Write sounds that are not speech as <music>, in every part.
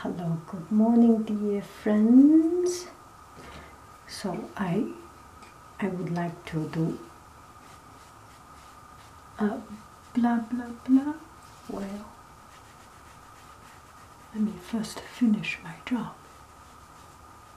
Hello, good morning, dear friends. So I, I would like to do a blah blah blah. Well, let me first finish my job.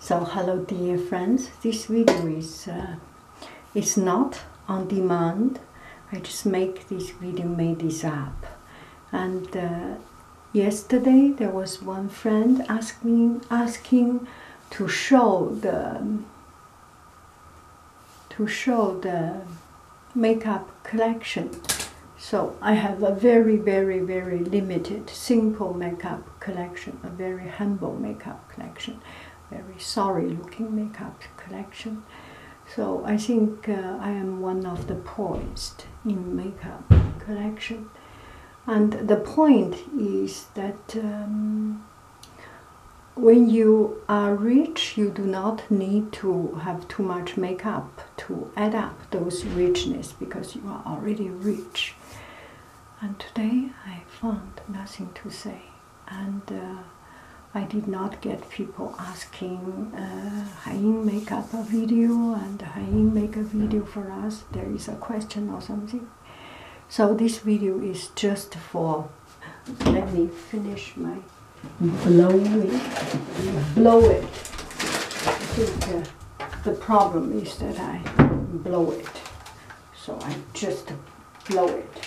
So hello dear friends, this video is, uh, is not on demand. I just make this video, made this up. And uh, Yesterday there was one friend asking asking to show the to show the makeup collection. So I have a very very very limited simple makeup collection, a very humble makeup collection, very sorry looking makeup collection. So I think uh, I am one of the poorest in makeup collection. And the point is that um, when you are rich, you do not need to have too much makeup to add up those richness because you are already rich. And today I found nothing to say, and uh, I did not get people asking. Uh, Haim make up a video and Haim make a video for us. There is a question or something. So this video is just for. Let me finish my blowing. Blow it. I think uh, the problem is that I blow it. So I just blow it.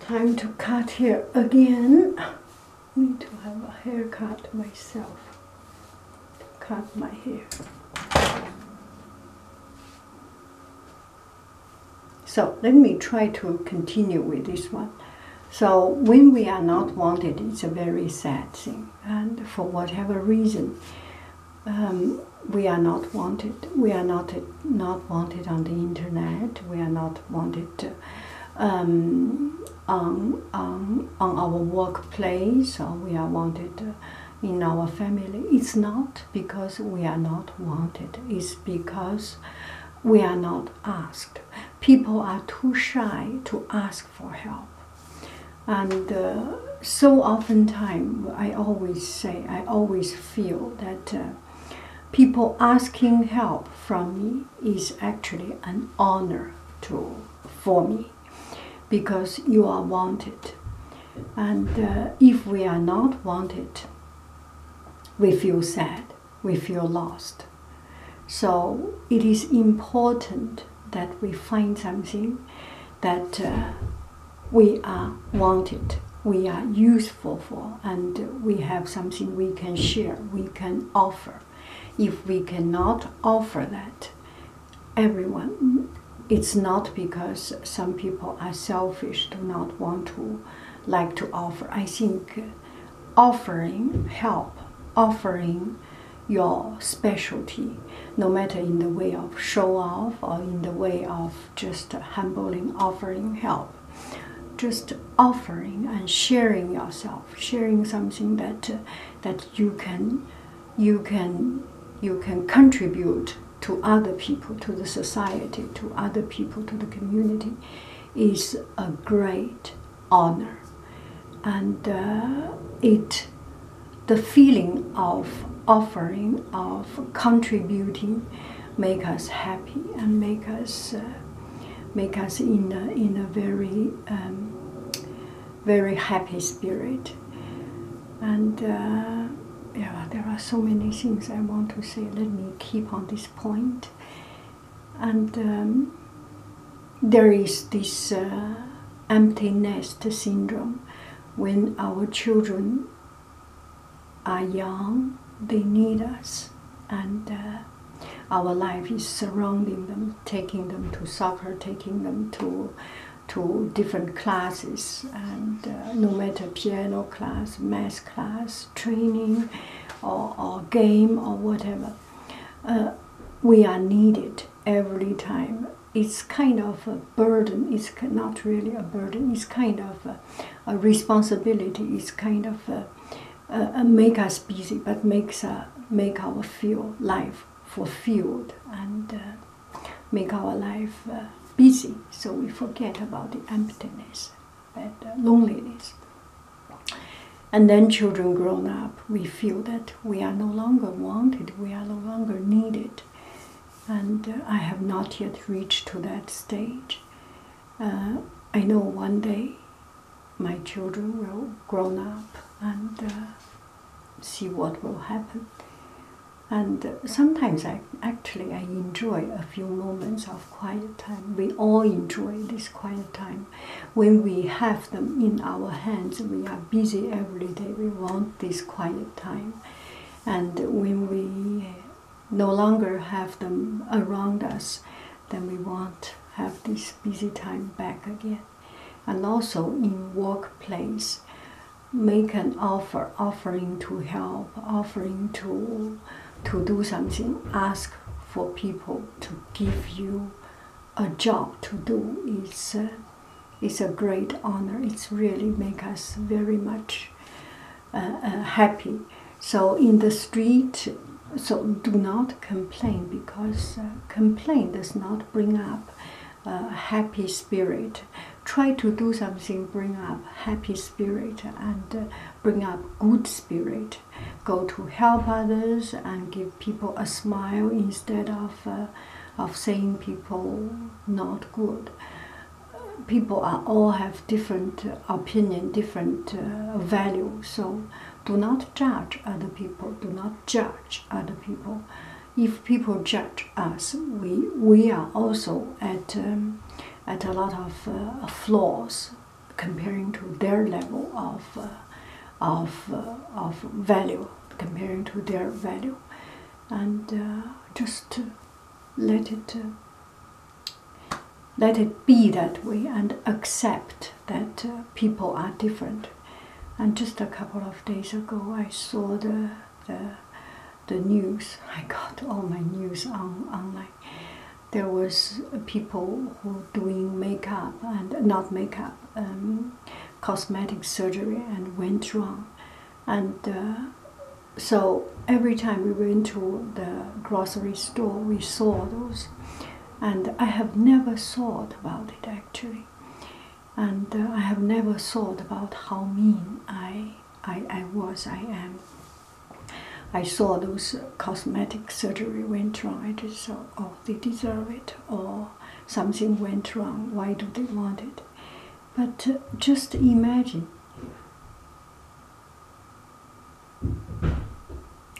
time to cut here again. Need to have a haircut myself. Cut my hair. So let me try to continue with this one. So when we are not wanted, it's a very sad thing. And for whatever reason, um, we are not wanted. We are not not wanted on the internet. We are not wanted um, on, our workplace, we are wanted uh, in our family. It's not because we are not wanted. It's because we are not asked. People are too shy to ask for help. And uh, so oftentimes, I always say, I always feel that uh, people asking help from me is actually an honor to for me because you are wanted. And uh, if we are not wanted, we feel sad we feel lost. So it is important that we find something that uh, we are wanted, we are useful for, and we have something we can share, we can offer. If we cannot offer that, everyone, it's not because some people are selfish, do not want to like to offer. I think offering help, offering your specialty, no matter in the way of show off or in the way of just humbling, offering help. Just offering and sharing yourself, sharing something that that you can, you can, you can contribute to other people, to the society, to other people, to the community is a great honor. And uh, it, the feeling of offering, of contributing, make us happy and make us, uh, make us in a, in a very, um, very happy spirit. And uh, yeah, there are so many things I want to say. Let me keep on this point. And um, there is this uh, empty nest syndrome. When our children are young, they need us, and uh, our life is surrounding them, taking them to soccer, taking them to to different classes, and uh, no matter piano class, math class, training or, game or whatever. Uh, we are needed every time. It's kind of a burden. It's not really a burden. It's kind of a, responsibility. It's kind of a, make us busy, but makes uh, make our feel life fulfilled and uh, make our life uh, busy, so we forget about the emptiness and uh, loneliness. And then, children grown up, we feel that we are no longer wanted, we are no longer needed. And uh, I have not yet reached to that stage. Uh, I know one day my children will grown up and see what will happen. And sometimes I actually I enjoy a few moments of quiet time. We all enjoy this quiet time. When we have them in our hands, we are busy every day. We want this quiet time. And when we no longer have them around us, then we want have this busy time back again. And also in workplace, make an offer, offering to help, offering to to do something, ask for people to give you a job to do It's uh, a great honor. It's really make us very much uh, uh, happy. So in the street, so do not complain because uh, complain does not bring up a happy spirit. Try to do something, bring up happy spirit and uh, bring up good spirit, go to help others and give people a smile instead of uh, of saying people not good. People are, all have different opinion, different uh, value. So do not judge other people. Do not judge other people. If people judge us, we we are also at. Um, at a lot uh, of flaws comparing to their level of uh, of uh, of value comparing to their value and just let it let it be that way and accept that people are different and just a couple of days ago i saw the the, the news <laughs> i got all my news on online there was people who were doing makeup and not makeup, um, cosmetic surgery and went wrong. And uh, so every time we went to the grocery store, we saw those. And I have never thought about it actually. And uh, I have never thought about how mean I, I, I was, I am. I saw those cosmetic surgery went wrong. I just oh, they deserve it, or something went wrong. Why do they want it? But uh, just imagine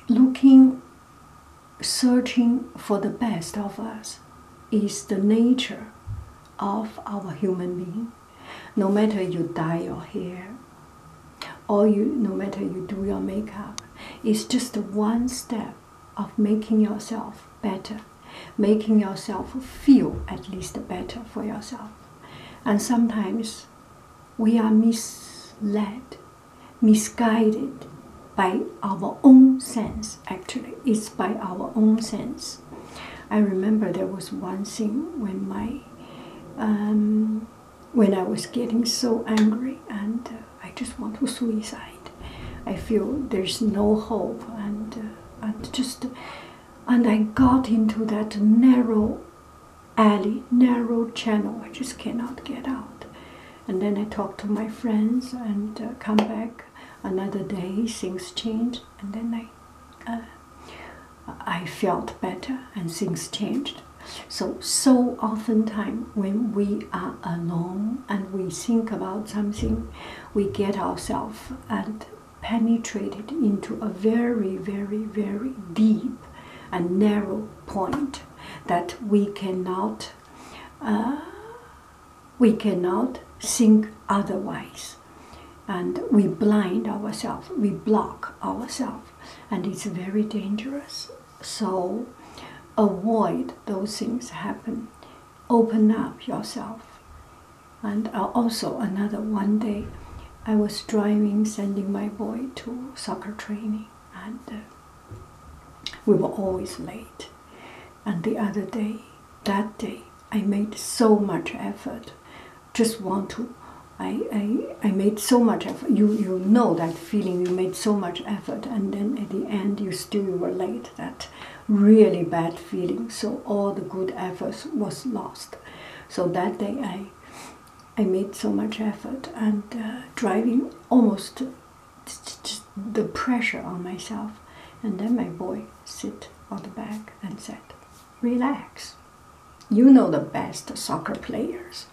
looking, searching for the best of us is the nature of our human being. No matter you dye your hair or you no matter you do your makeup, it's just one step of making yourself better, making yourself feel at least better for yourself. And sometimes we are misled, misguided by our own sense, actually. It's by our own sense. I remember there was one thing when my um, when I was getting so angry and uh, I just want to suicide. I feel there's no hope and uh, and just and I got into that narrow alley, narrow channel. I just cannot get out. And then I talk to my friends and uh, come back another day. Things change and then I uh, I felt better and things changed. So, so oftentimes when we are alone and we think about something, we get ourselves and penetrated into a very, very, very deep and narrow point that we cannot, uh, we cannot think otherwise and we blind ourselves, we block ourselves, and it's very dangerous. So avoid those things happen. Open up yourself. And uh, also another one day, I was driving, sending my boy to soccer training, and uh, we were always late. And the other day, that day, I made so much effort just want to. I, I, I made so much effort. You, you know that feeling, you made so much effort, and then at the end, you still were late. That really bad feeling. So, all the good efforts was lost. So, that day, I, I made so much effort and uh, driving almost the pressure on myself. And then my boy sit on the back and said, Relax. You know the best soccer players.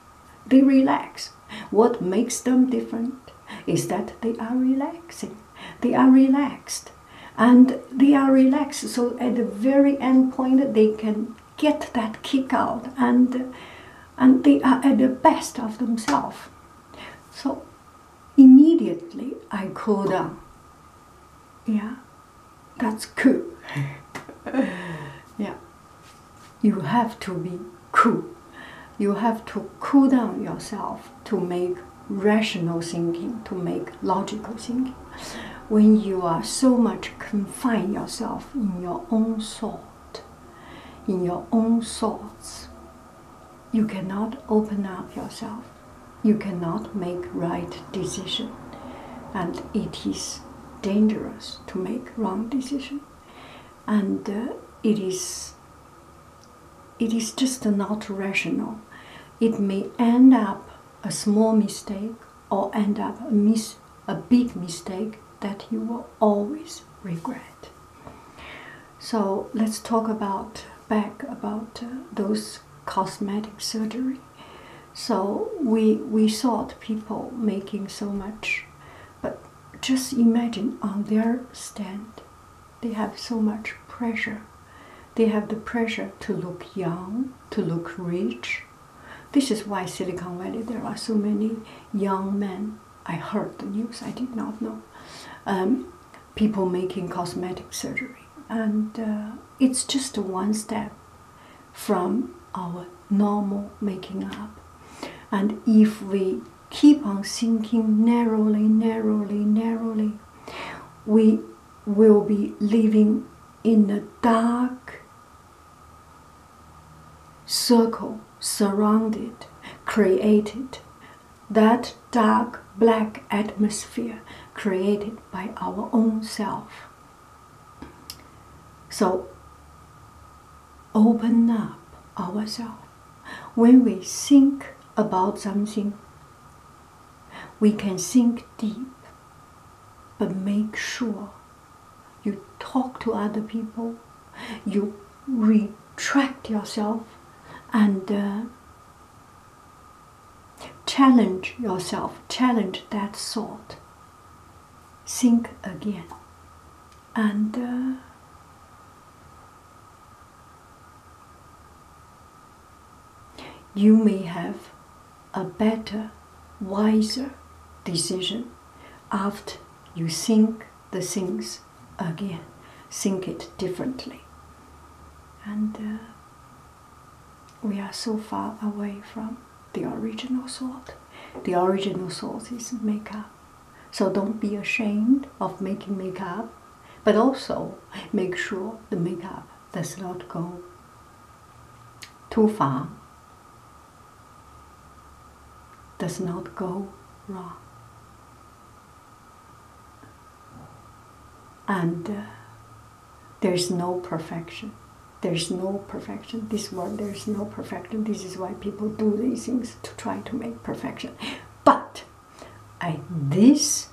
They relax. What makes them different is that they are relaxing. They are relaxed. And they are relaxed, so at the very end point, they can get that kick out and, and they are at the best of themselves. So immediately I cool down. Yeah, that's cool. yeah. You have to be cool. You have to cool down yourself to make rational thinking, to make logical thinking. When you are so much confined yourself in your own thought, in your own thoughts, you cannot open up yourself. You cannot make right decision and it is dangerous to make wrong decision and uh, it is it is just not rational it may end up a small mistake or end up a big mistake that you will always regret so let's talk about back about uh, those cosmetic surgery. So we we the people making so much, but just imagine on their stand, they have so much pressure. They have the pressure to look young, to look rich. This is why Silicon Valley there are so many young men. I heard the news. I did not know. Um, people making cosmetic surgery, and uh, it's just one step from our normal making up. And if we keep on thinking narrowly, narrowly, narrowly, we will be living in a dark circle surrounded, created. That dark black atmosphere created by our own self. So open up ourselves. When we think about something, we can think deep, but make sure you talk to other people, you retract yourself, and uh, Challenge yourself, challenge that thought. Think again. And uh, you may have a better, wiser decision after you think the things again, think it differently. And uh, we are so far away from the original salt. The original salt is makeup. So don't be ashamed of making makeup, but also make sure the makeup does not go too far, does not go wrong. And uh, there's no perfection. There's no perfection. This word. there's no perfection. This is why people do these things to try to make perfection. But at this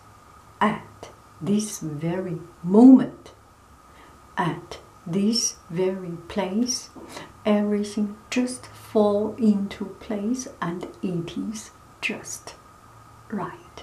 at this very moment, at this very place, everything just fall into place and it is just right.